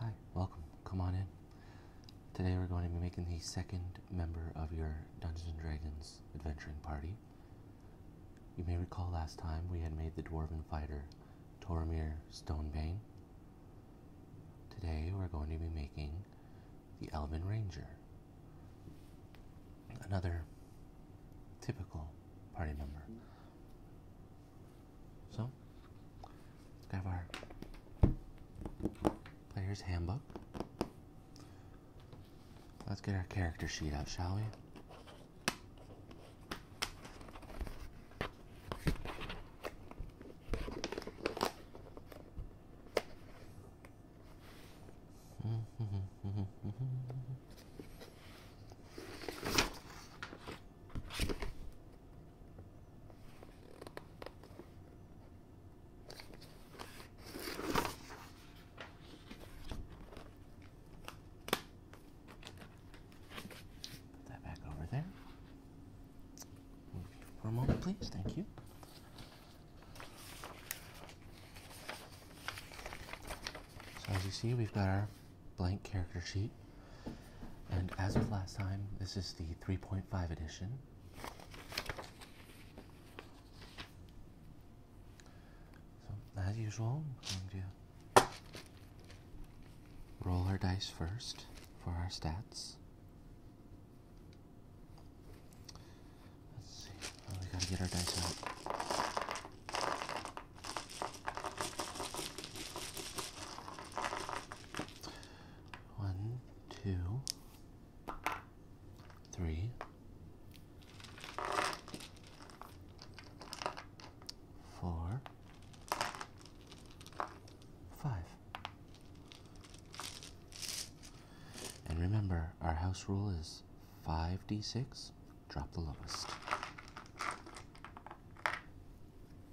Hi, welcome. Come on in. Today we're going to be making the second member of your Dungeons & Dragons adventuring party. You may recall last time we had made the Dwarven fighter Toromir Stonebane. Today we're going to be making the Elven Ranger. Another typical party member. So, let's have our player's handbook. Let's get our character sheet out, shall we? Put that back over there. For a moment, please. Thank you. So as you see, we've got our blank character sheet. And as with last time, this is the 3.5 edition. So, as usual, I'm roll our dice first for our stats. Let's see. Oh, we gotta get our dice out. One, two, three, four, five. And remember, our house rule is 5d6, drop the lowest.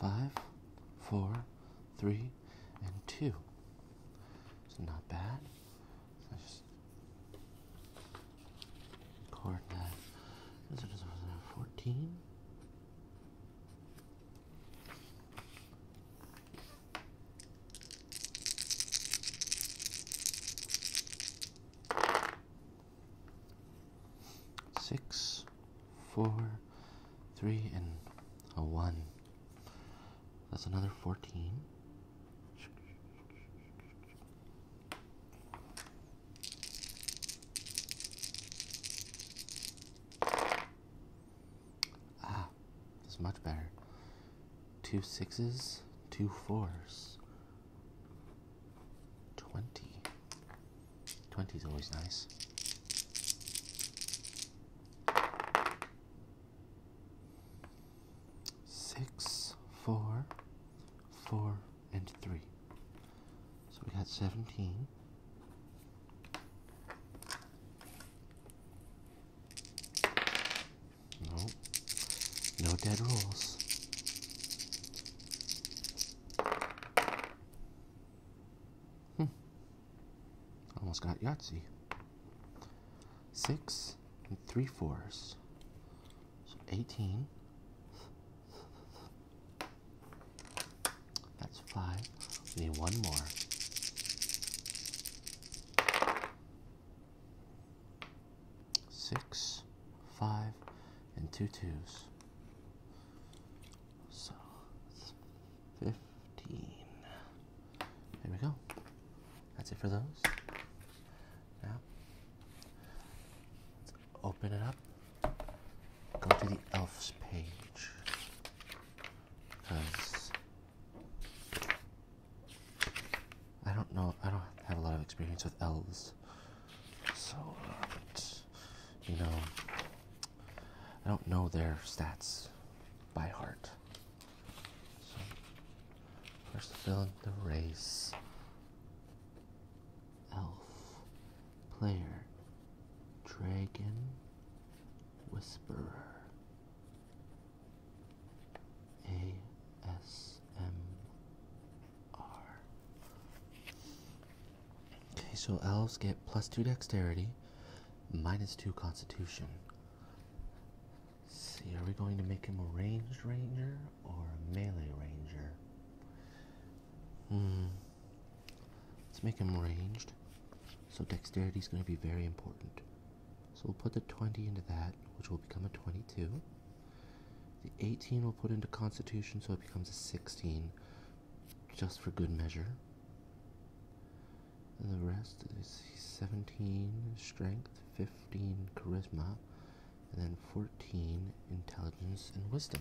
Five, four, three, and two. It's not bad. just record that. Fourteen. Six, four, three, and a one. That's another fourteen. Ah, this much better. Two sixes, two fours. Twenty. Twenty's always nice. Six, four, 4, and 3. So we got 17. No, no dead rules. Hmm. Almost got Yahtzee. Six and three fours. So 18. That's five. We need one more. Six, five, and two twos. So fifteen. There we go. That's it for those. Now let's open it up go to the elves page because I don't know, I don't have a lot of experience with elves, so you know, I don't know their stats by heart. So, first, fill in the race elf, player, dragon, whisperer, ASMR. Okay, so elves get plus two dexterity, minus two constitution. see, are we going to make him a ranged ranger or a melee ranger? Hmm. Let's make him ranged. So dexterity is going to be very important. So we'll put the 20 into that, which will become a 22. The 18 we'll put into constitution, so it becomes a 16, just for good measure. And the rest is 17 strength, 15 charisma, and then 14 intelligence and wisdom.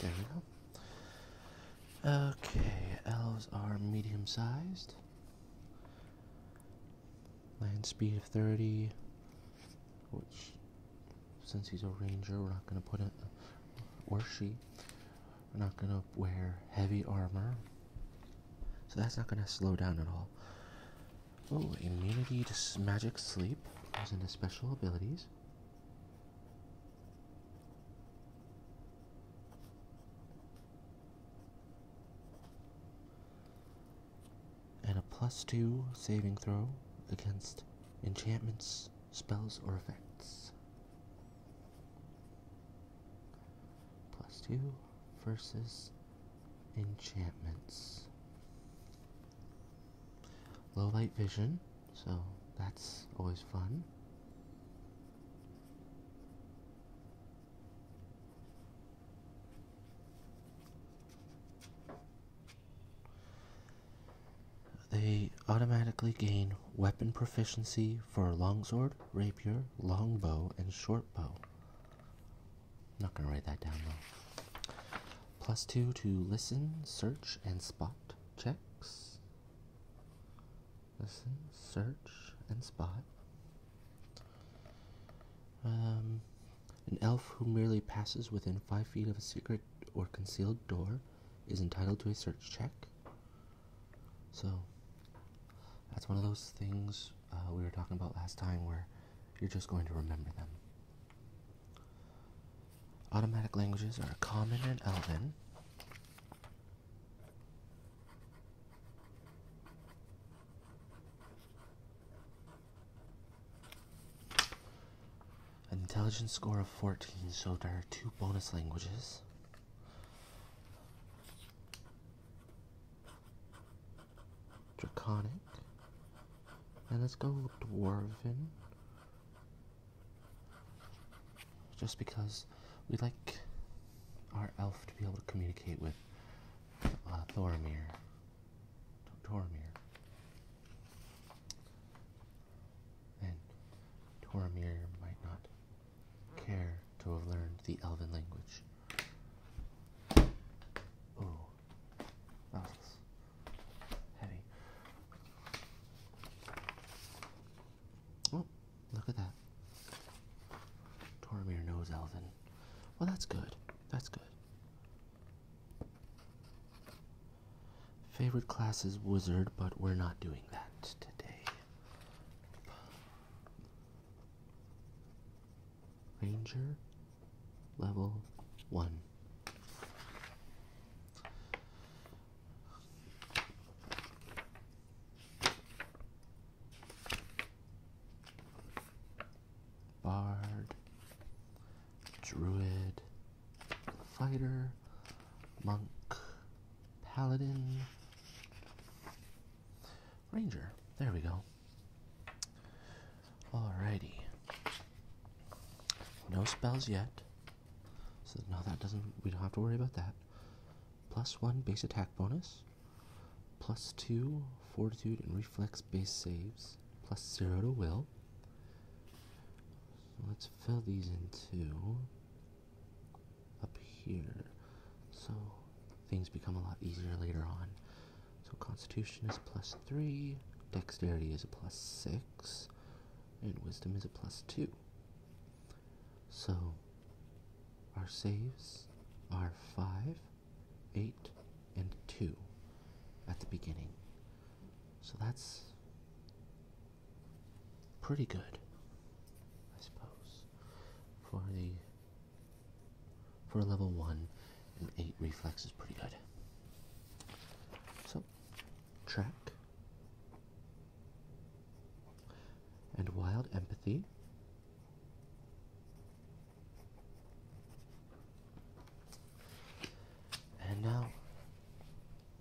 There we go. Okay, elves are medium sized. Land speed of 30, which since he's a ranger, we're not going to put it, or she, we're not going to wear heavy armor. So that's not going to slow down at all. Oh, immunity to magic sleep goes into special abilities. And a plus two saving throw against enchantments, spells, or effects. Plus two versus enchantments. Low light vision, so that's always fun. They automatically gain weapon proficiency for longsword, rapier, longbow, and shortbow. Not gonna write that down Plus two to listen, search, and spot checks. Listen, search, and spot. Um, an elf who merely passes within five feet of a secret or concealed door is entitled to a search check. So that's one of those things uh, we were talking about last time where you're just going to remember them. Automatic languages are Common in Elven. An intelligence score of 14, so there are two bonus languages. Draconic. And let's go Dwarven. Just because we like our elf to be able to communicate with uh, Thoramir and Toromir might not care to have learned the Elven language. Oh, that heavy. Oh, look at that. Toromir knows Elven. Well, that's good. That's good. Favorite class is wizard, but we're not doing that today. Ranger level 1. Bard, Druid, fighter, monk, paladin, ranger. There we go. Alrighty. No spells yet. So no, that doesn't. We don't have to worry about that. Plus one base attack bonus. Plus two fortitude and reflex base saves. Plus zero to will. let's fill these in too up here. So things become a lot easier later on. So Constitution is plus 3, Dexterity is a plus 6, and Wisdom is a plus 2. So our saves are 5, 8, and 2 at the beginning. So that's pretty good, I suppose, for the for a level one and eight reflex is pretty good. So, track and wild empathy. And now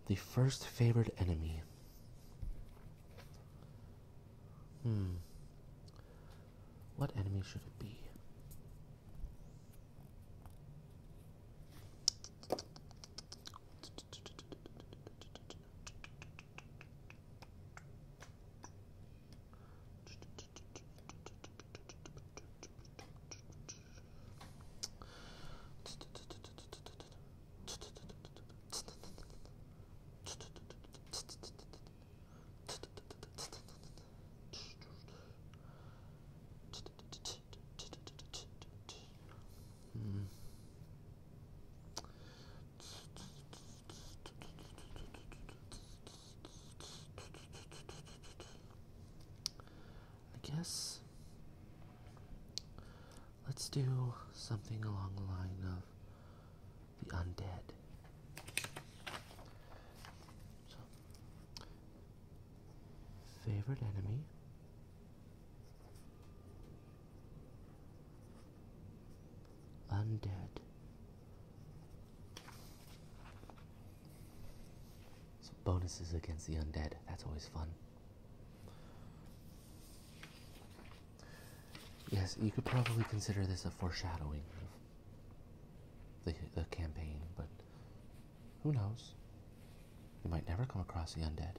the first favored enemy. Hmm. What enemy should it be? Hmm. I guess Let's do something along the line of the undead. favorite enemy. Undead. So bonuses against the undead. That's always fun. Yes, you could probably consider this a foreshadowing of the, the campaign, but who knows? You might never come across the undead.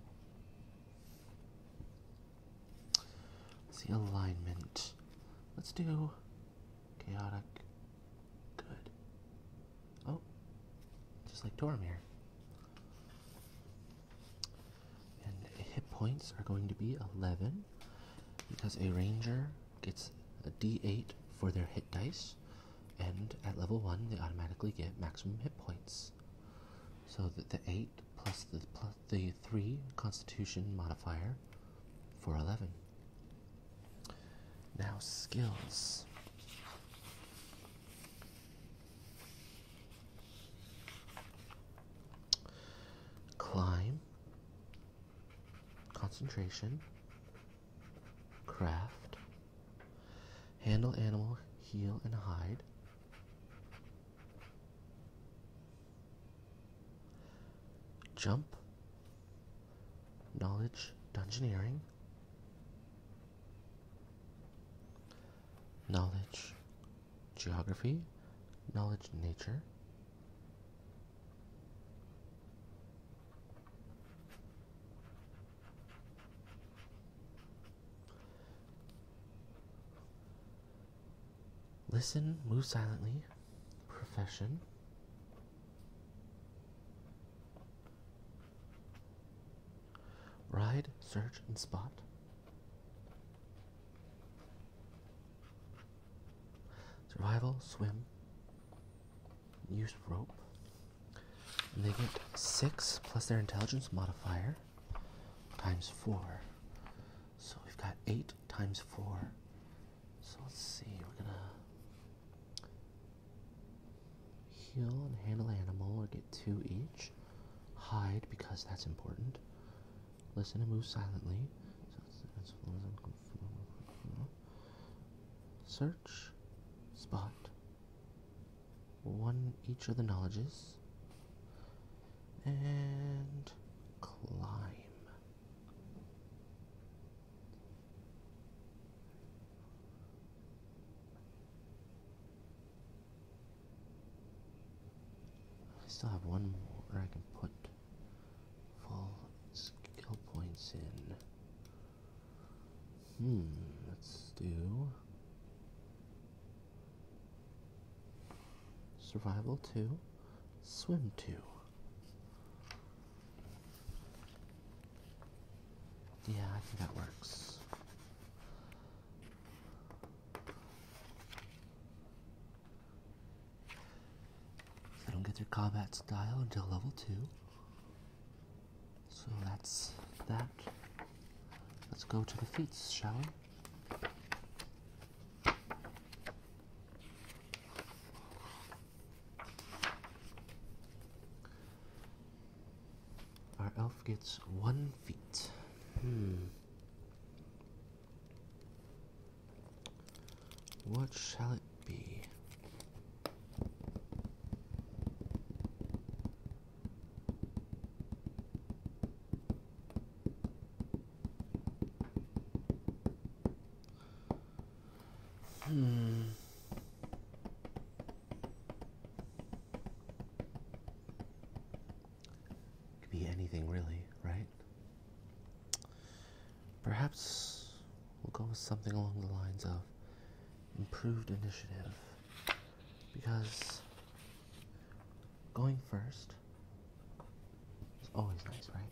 Let's see alignment. Let's do chaotic good. Oh, just like Tormir. And hit points are going to be 11 because a ranger gets a d8 for their hit dice, and at level 1 they automatically get maximum hit points. So that the 8 plus the, plus the 3 constitution modifier for 11. Now, skills. Climb, concentration, craft, handle animal, heal, and hide. Jump, knowledge, dungeoneering, knowledge geography, knowledge nature. Listen, move silently, profession. Ride, search, and spot. Survival, swim, use rope. And they get 6 plus their intelligence modifier times 4. So we've got 8 times 4. So let's see, we're gonna heal and handle animal or get two each. Hide because that's important. Listen and move silently. Search, spot, one each of the knowledges, and climb. I still have one more I can put full skill points in. Hmm, let's do survival 2, swim 2. Yeah, I think that works. They don't get their combat style until level 2. So that's that. Let's go to the feats, shall we? Our elf gets one feat. Hmm. What shall it be? Hmm. Could be anything really, right? Perhaps we'll go with something along the lines of improved initiative because going first is always nice, right?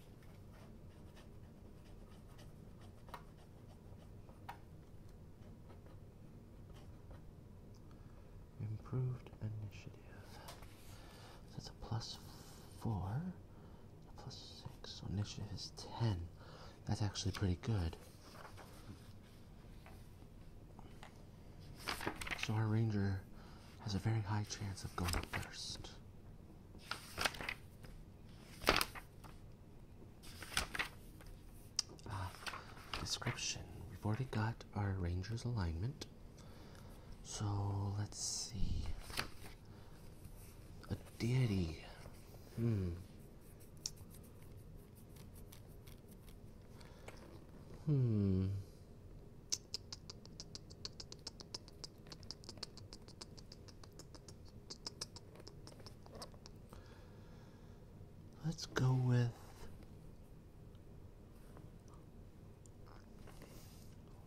improved initiative. So a plus four, a plus six. So initiative is ten. That's actually pretty good. So our ranger has a very high chance of going first. Uh, description. We've already got our ranger's alignment. So let's see. A deity. Hmm. Hmm. Let's go with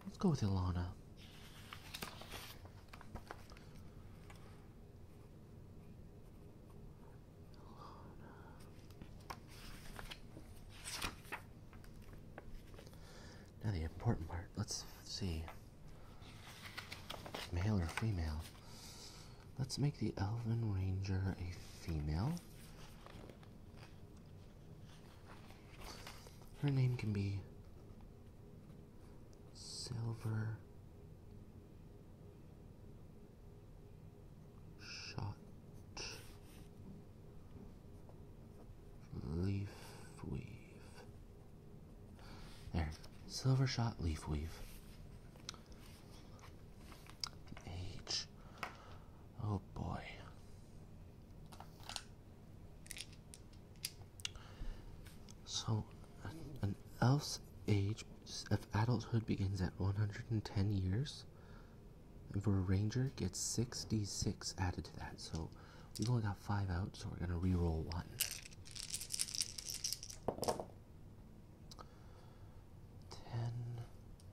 Let's go with Ilana. Now the important part, let's see. Male or female? Let's make the Elven Ranger a female. Her name can be Silver Shot Leaf Weave. There, Silver Shot Leaf Weave age. Oh boy. So, an elf's age of adulthood begins at 110 years. And for a ranger, gets 66 added to that. So, we've only got 5 out, so we're going to re-roll 1. Ten,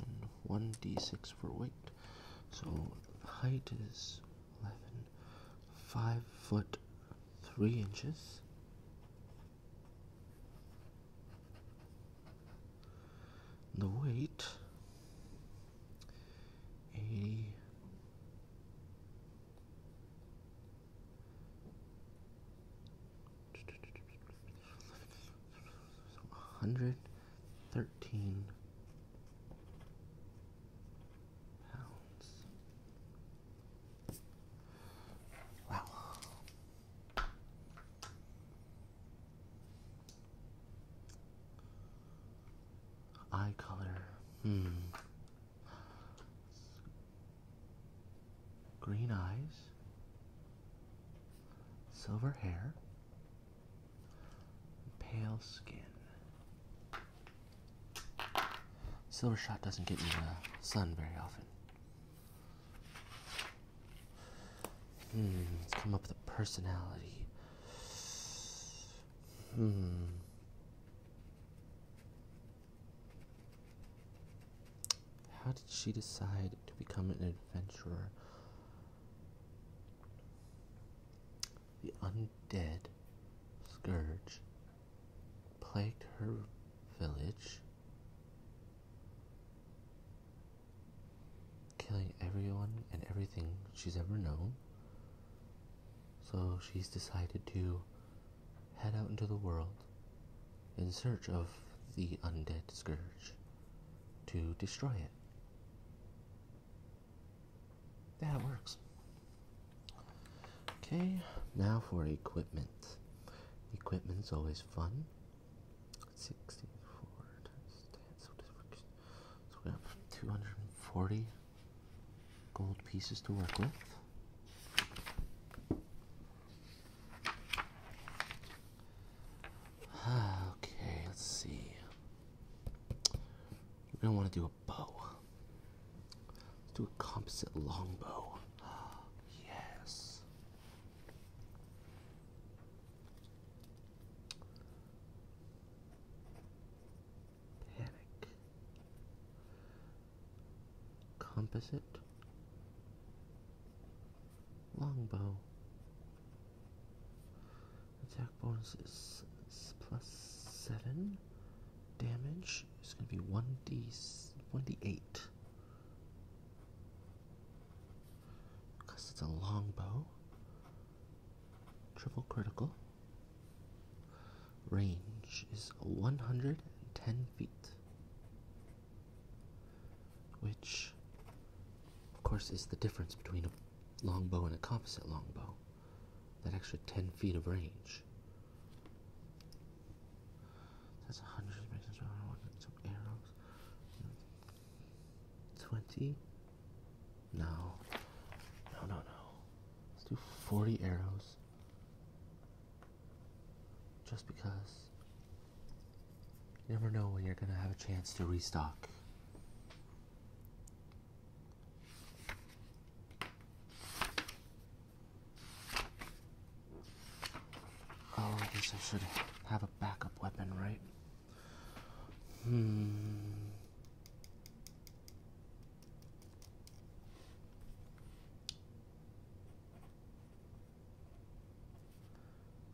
and 1d6 for weight. So height is 11, 5 foot 3 inches. The weight 80 100 13 pounds. Wow. Eye color. Hmm. Green eyes. Silver hair. Pale skin. Silver shot doesn't get in the sun very often. Hmm, let's come up with a personality. Hmm. How did she decide to become an adventurer the undead scourge plagued her village, killing everyone and everything she's ever known. So she's decided to head out into the world in search of the undead scourge to destroy it. That works. Okay, now for equipment. Equipment's always fun. 64 times 10, so we have 240 gold pieces to work with. Okay, let's see. We don't want to do a bow. Let's do a composite longbow. Yes. Panic. Composite. Longbow. Attack bonus is plus seven. Damage is going to be one d one d eight. Because it's a longbow. Triple critical. Range is one hundred and ten feet, which of course, is the difference between a longbow and a composite longbow. That extra 10 feet of range. That's 100 arrows. 20? No. No, no, no. Let's do 40 arrows. Just because. You never know when you're gonna have a chance to restock. Oh, I guess I should have a backup weapon, right? Hmm.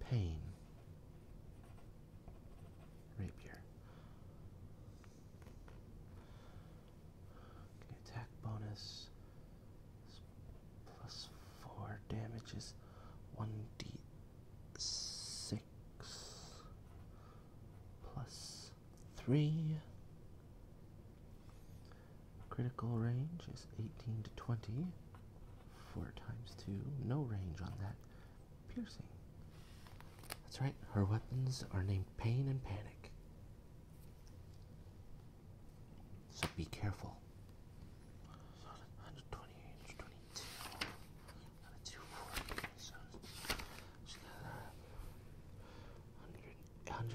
Pain rapier. attack bonus plus four damages, one d six plus three. Critical range is eighteen to twenty. Four times two. No range on that piercing. That's right, her weapons are named Pain and Panic. So be careful.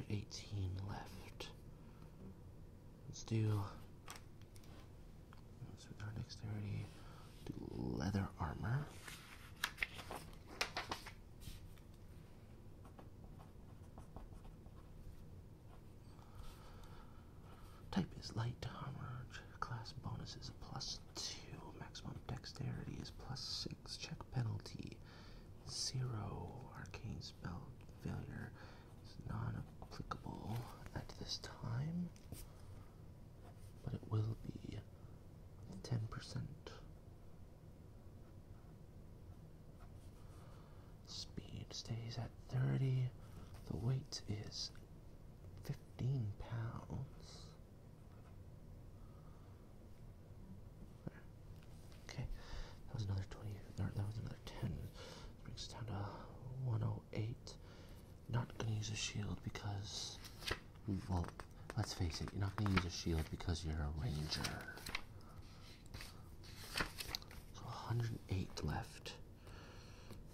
Eighteen left. Let's do so our dexterity to leather armor. Type is light armor. Class bonus is plus two. Maximum dexterity is plus six. Check penalty zero. Arcane spell failure is non applicable at this time but it will be 10%. Speed stays at 30. The weight is 15 pounds. Okay, that was another 20, that was another 10. brings us down to 101. 8. Not gonna use a shield because, well, let's face it, you're not gonna use a shield because you're a ranger. So 108 left.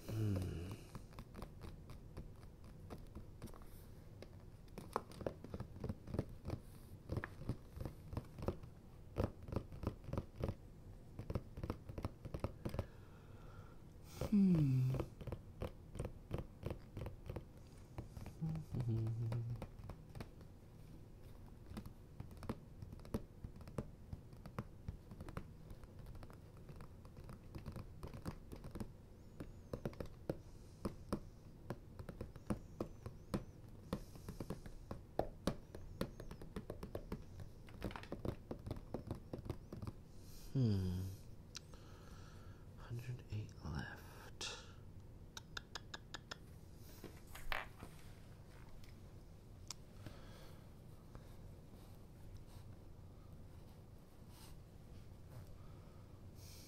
Hmm. Hmm. Hmm. 108 left.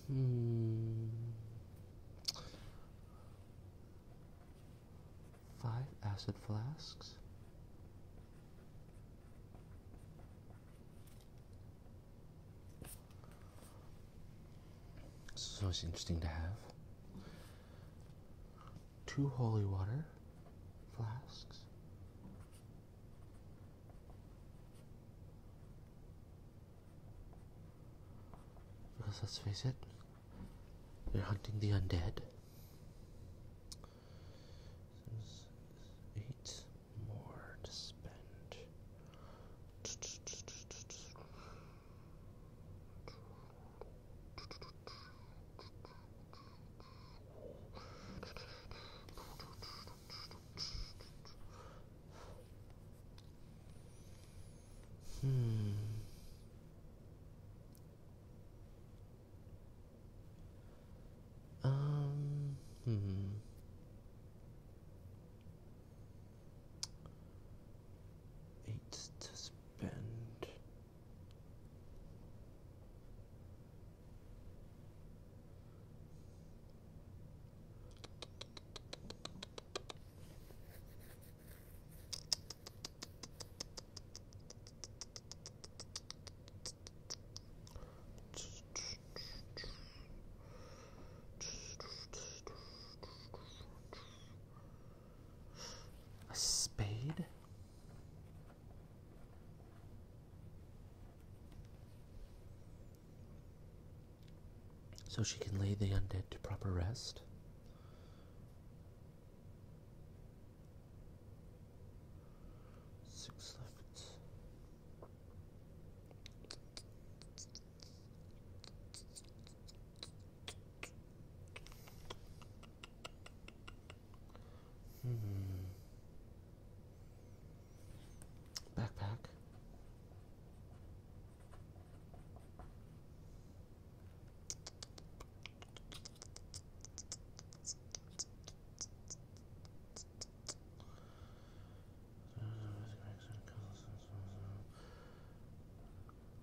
Hmm. Five acid flasks. So it's interesting to have. Two holy water flasks. Because let's face it, you're hunting the undead eight more to spend. Hmm. Um, hmm. Eight to spend. A spade? So she can lay the undead to proper rest. Six left. Hmm. Backpack.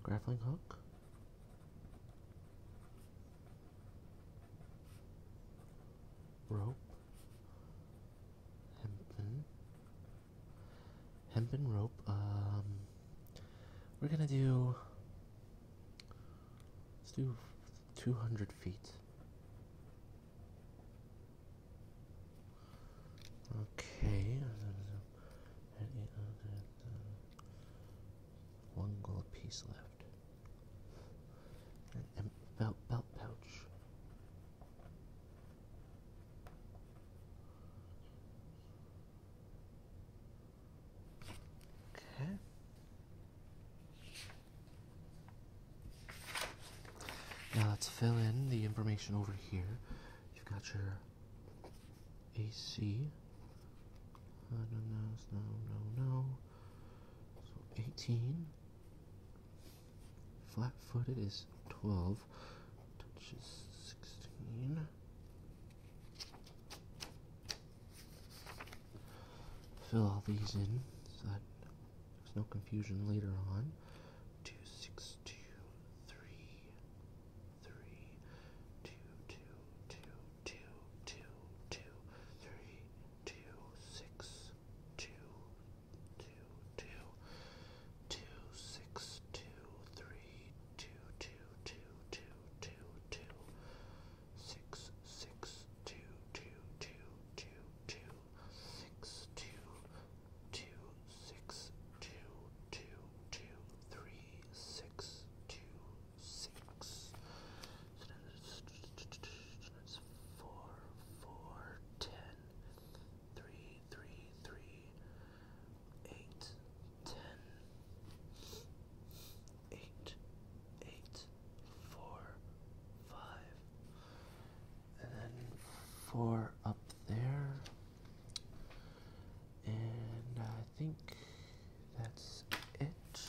Grappling hook? Rope? Hempen? Hempen rope, um... We're gonna do... Let's do two hundred feet. Okay. Uh, uh, one gold piece left. belt belt pouch. Okay. Now let's fill in the information over here. You've got your AC. Uh, no, no, no, no. So 18. Flat footed is 12. Touch 16. Fill all these in so that there's no confusion later on. Two six two three three two two two two two two three two six two two two two six two three two two two two two two six six two two two two two six two two six two two two three six two six. So that's four four ten three three three eight ten eight eight four, five, and then four up there. And I think that's it.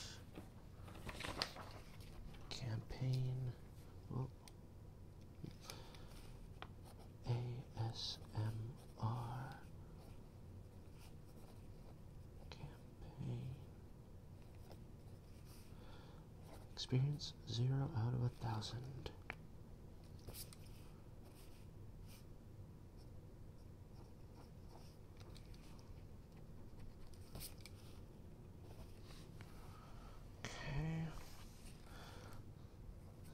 Campaign. Oh. ASMR campaign Experience zero out of a thousand. Okay.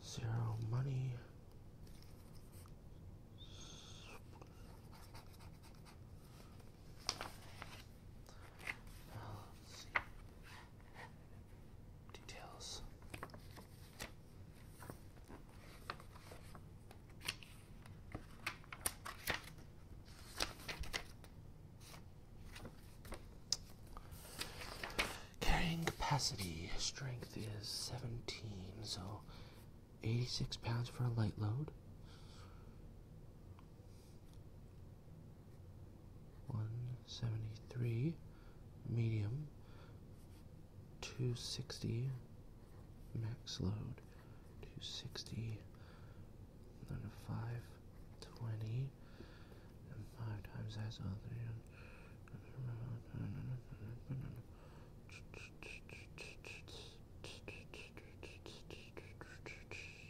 Zero money. Details. Carrying capacity strength is 17, so 86 pounds for a light load. 173 medium 260 max load 260 then 520 and 5 times that's other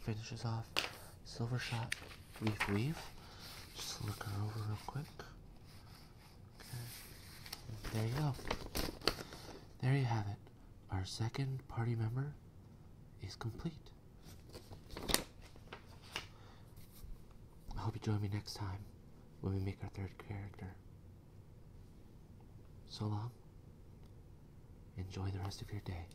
Finishes off silver shot leaf weave. Just look her over real quick. Okay. There you go. There you have it. Our second party member is complete. I hope you join me next time when we make our third character. So long. Enjoy the rest of your day.